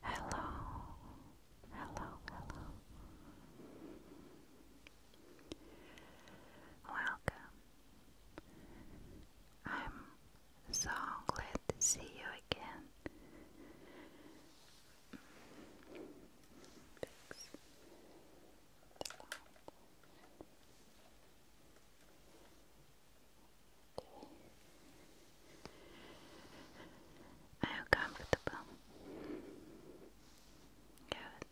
Hello, hello, hello. Welcome. I'm so glad to see you again the lamp. you comfortable? Good.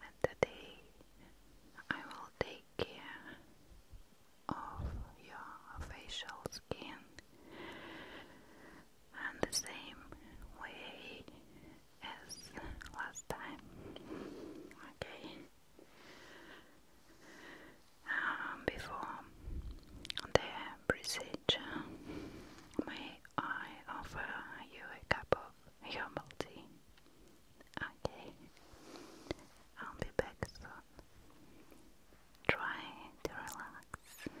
And today I will take care of your facial skin and the same way as last time. Okay. Um, before the procedure, may I offer you a cup of herbal tea? Okay. I'll be back soon. Try to relax.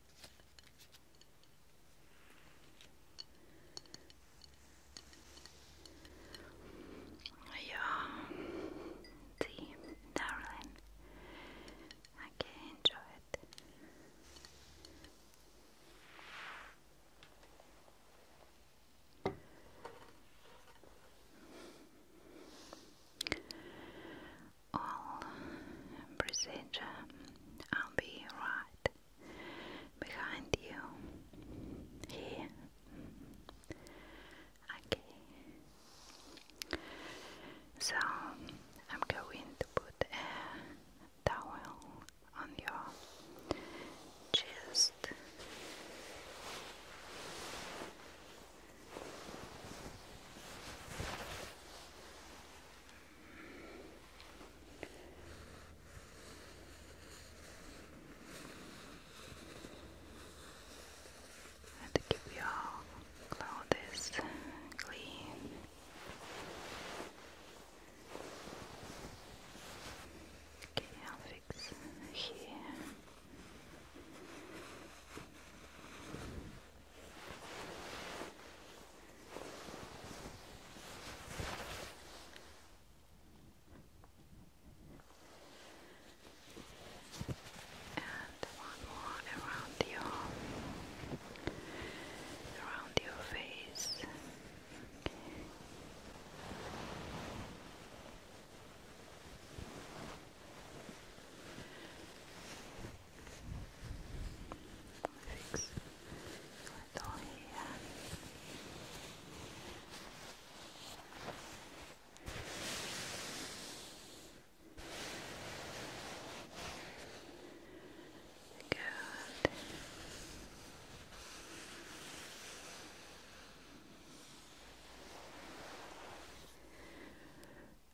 Yeah, see, darling, I can enjoy it all procedure. I'll be right behind you here. Okay. So I'm going to put a towel on your chest. And to keep your clothes clean. Okay, I'll fix here. And one more around your around your face. Okay fix a little here. Good.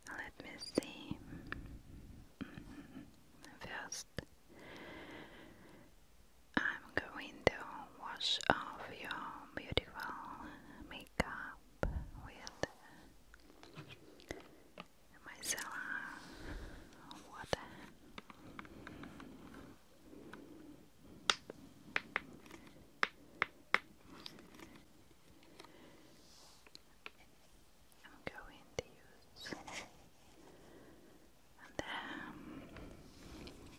Let me see. Mm-hmm. First, I'm going to wash off your beautiful makeup with micellar water. I'm going to use and um,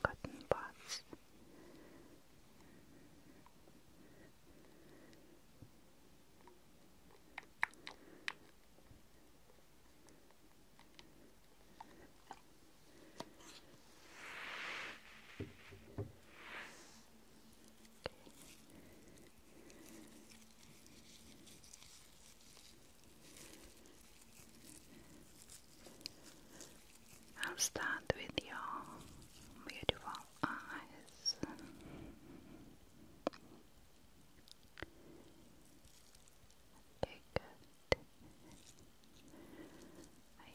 cotton buds. Okay. I'll start with your beautiful eyes. Okay, good.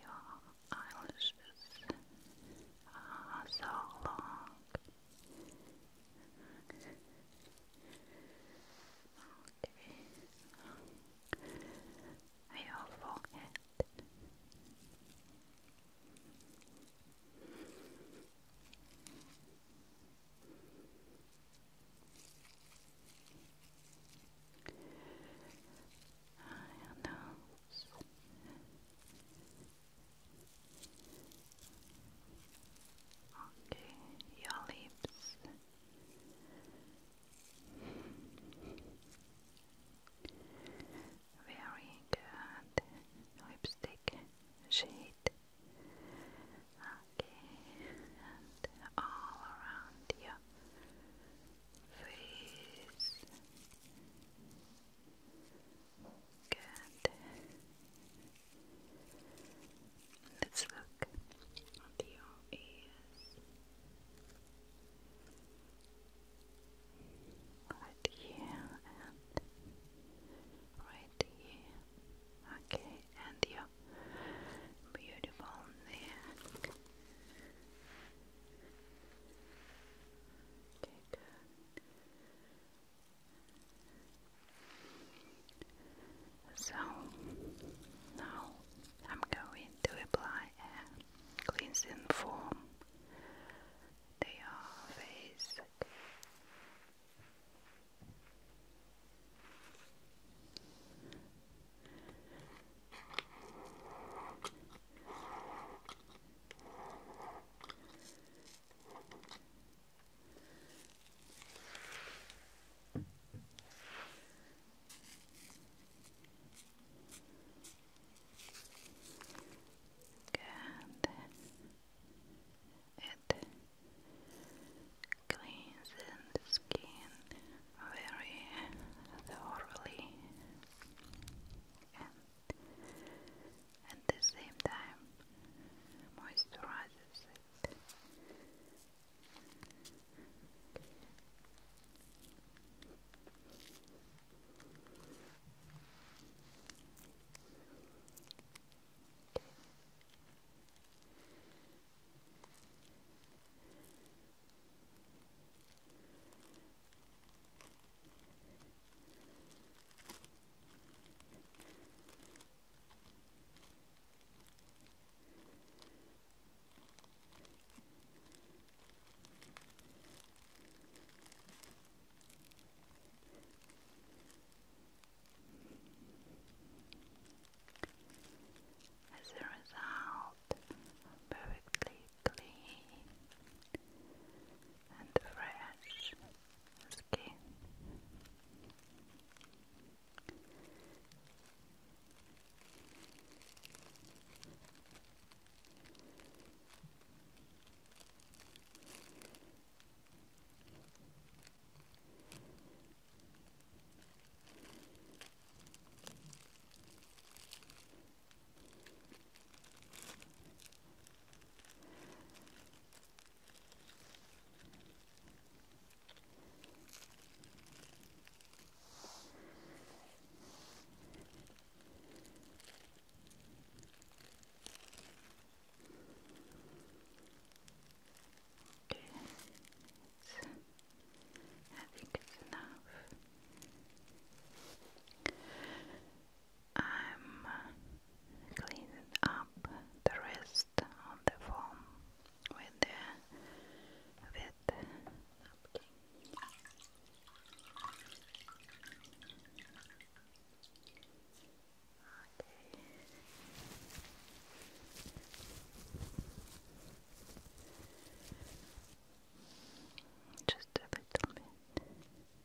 Your eyelashes are so long Okay. Your forehead. Your nose. Okay, your lips. Very good lipstick shade. Okay, and all around your face. Good. Let's look at here and right here. Okay, and your beautiful Okay, good. So now I'm going to apply a cleansing foam to your face. Good. It cleans the skin very thoroughly at the same time, moisturizes it. As a result, perfectly clean and fresh skin. Okay. It's, I think it's enough. I'm cleaning up the rest on the foam with the wet napkin. Just a little bit.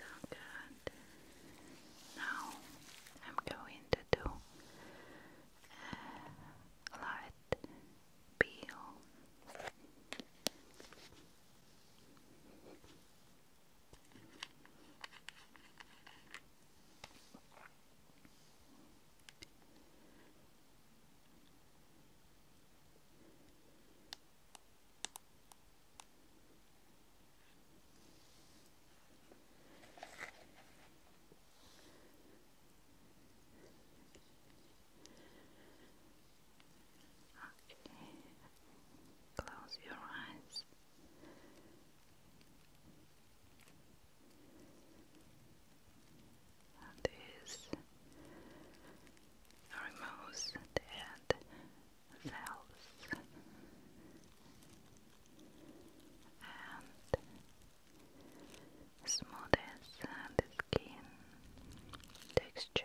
So good. Now I'm going to do uh, light peel. Okay. Close your eyes. That is removes dead cells and smooths the skin texture.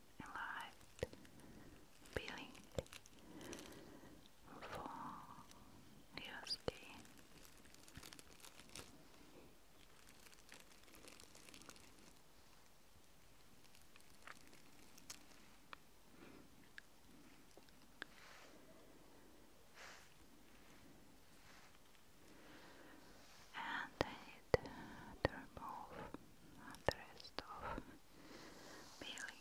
alive feeling for your skin. And it to remove the rest of feeling.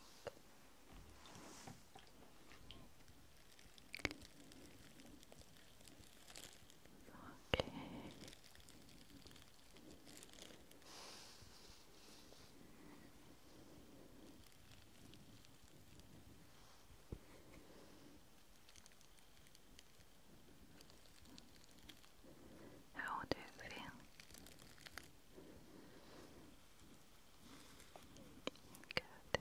Okay. Okay. How do you feel? Good.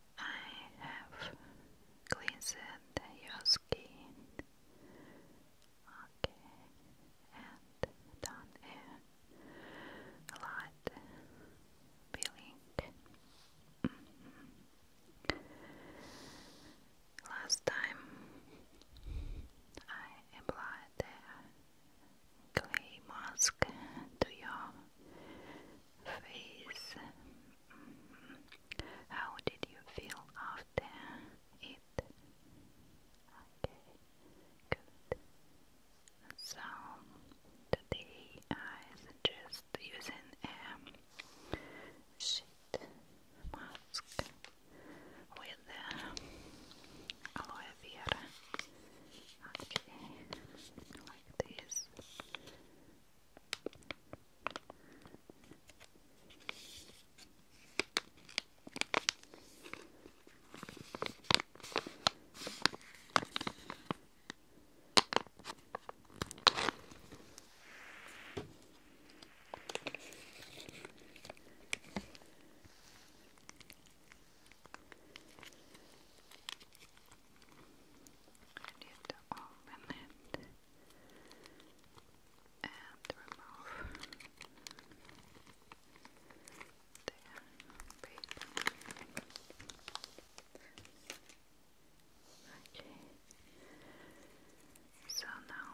I have cleansed your skin. Okay, and done a light peeling. Last time I applied clay mask to your face. How did you feel after it? Okay, good. So today I suggest using a sheet mask with aloe vera. Okay, like this. I need to open it and remove Okay, so now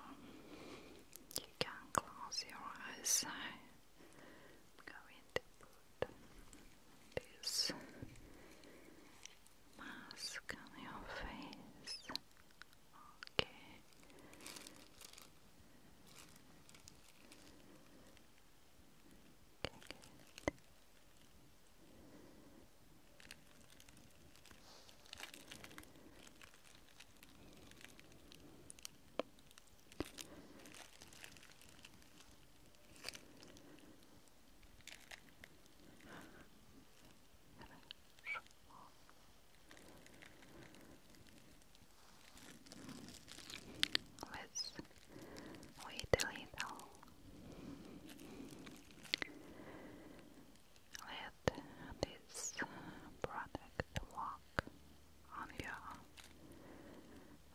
you can close your eyes. I'm going to mask on your face. Okay. Okay, Let's wait a little. Let this product walk on your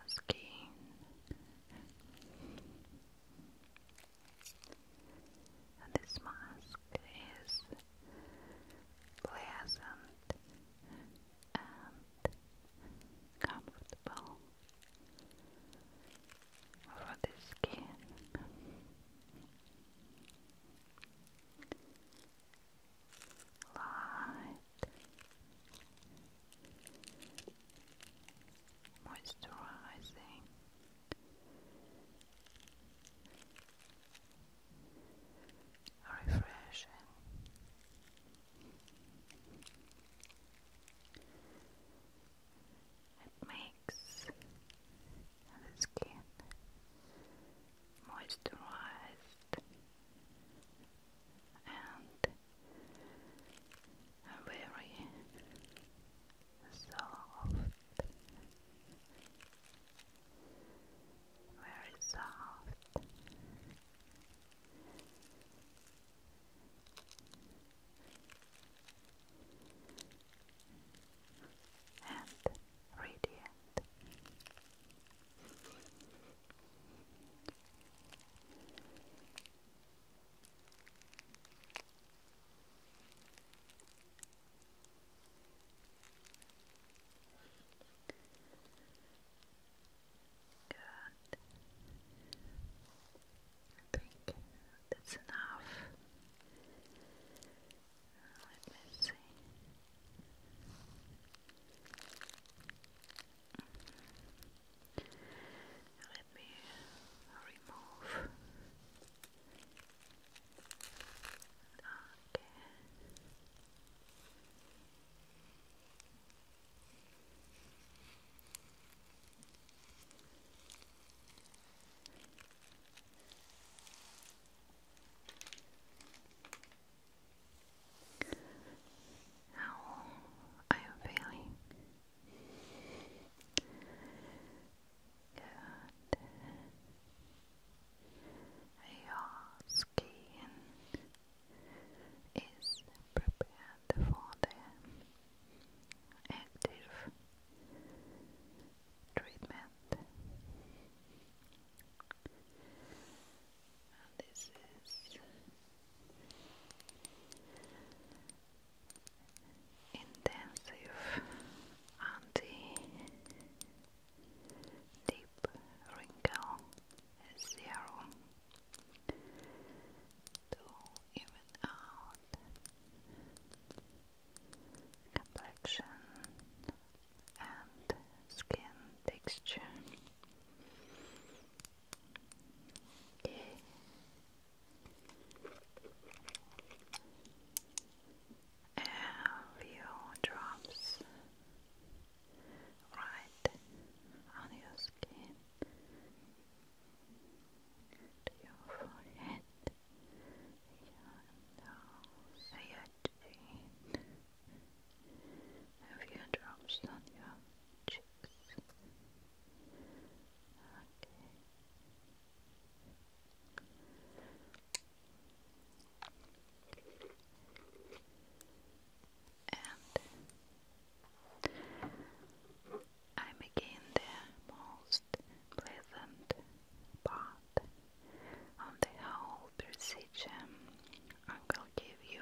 skin. And this mask is pleasant and comfortable for the skin. Light moisturizing. Refreshing. It makes the skin moisturized and very soft, very soft. And radiant. Good. I think that's enough. Let me see. Mm -hmm. Let me remove. Okay. How are you feeling? Good. Your skin is prepared for the active treatment. This is intensive anti-deep wrinkle serum to even out complexion and skin texture. Okay a few drops right on your skin your forehead, your nose, your chin, a few drops on your cheek. And I'm again the most pleasant part of the whole procedure. I will give you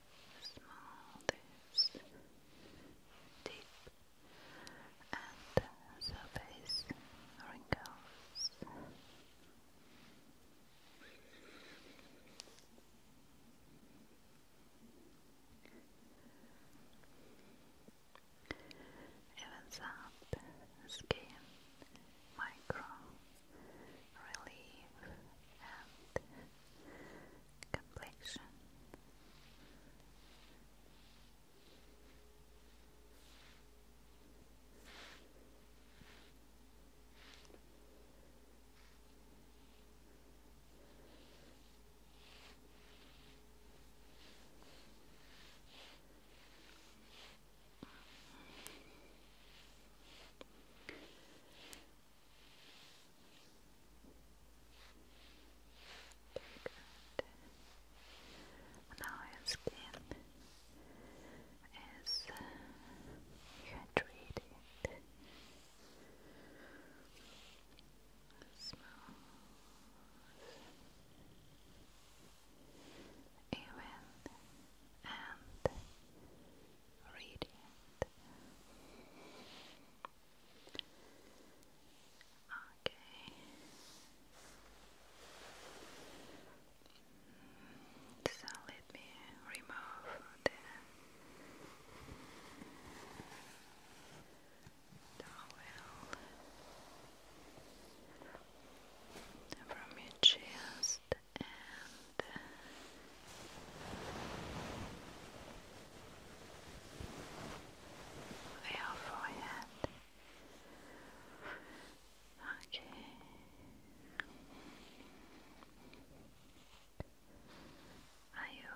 small, this deep, and surface wrinkles. Evens up skin, micro relief, and complexion. Very good. Now your skin is uh, hydrated, smooth, even and radiant. Okay. So let me remove the towel from your chest and the our forehead. Okay. Are you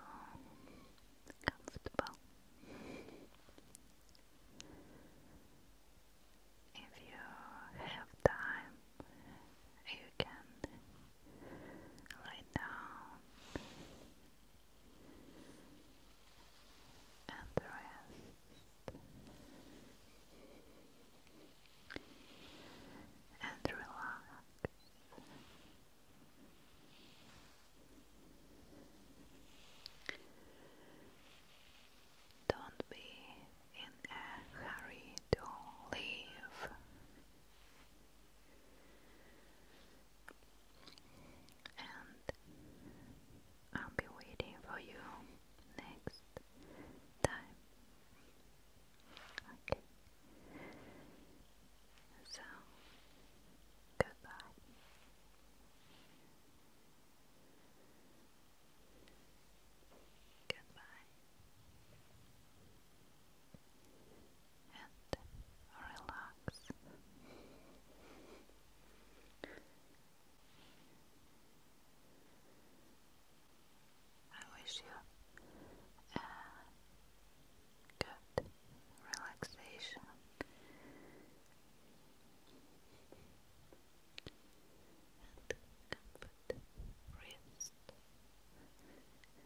comfortable? If you have time, you can lie down and rest and relax. Don't be in a hurry to leave and I'll be waiting for you next time. Okay. So, goodbye. Goodbye and relax. I wish you good relaxation. And comfort, rest,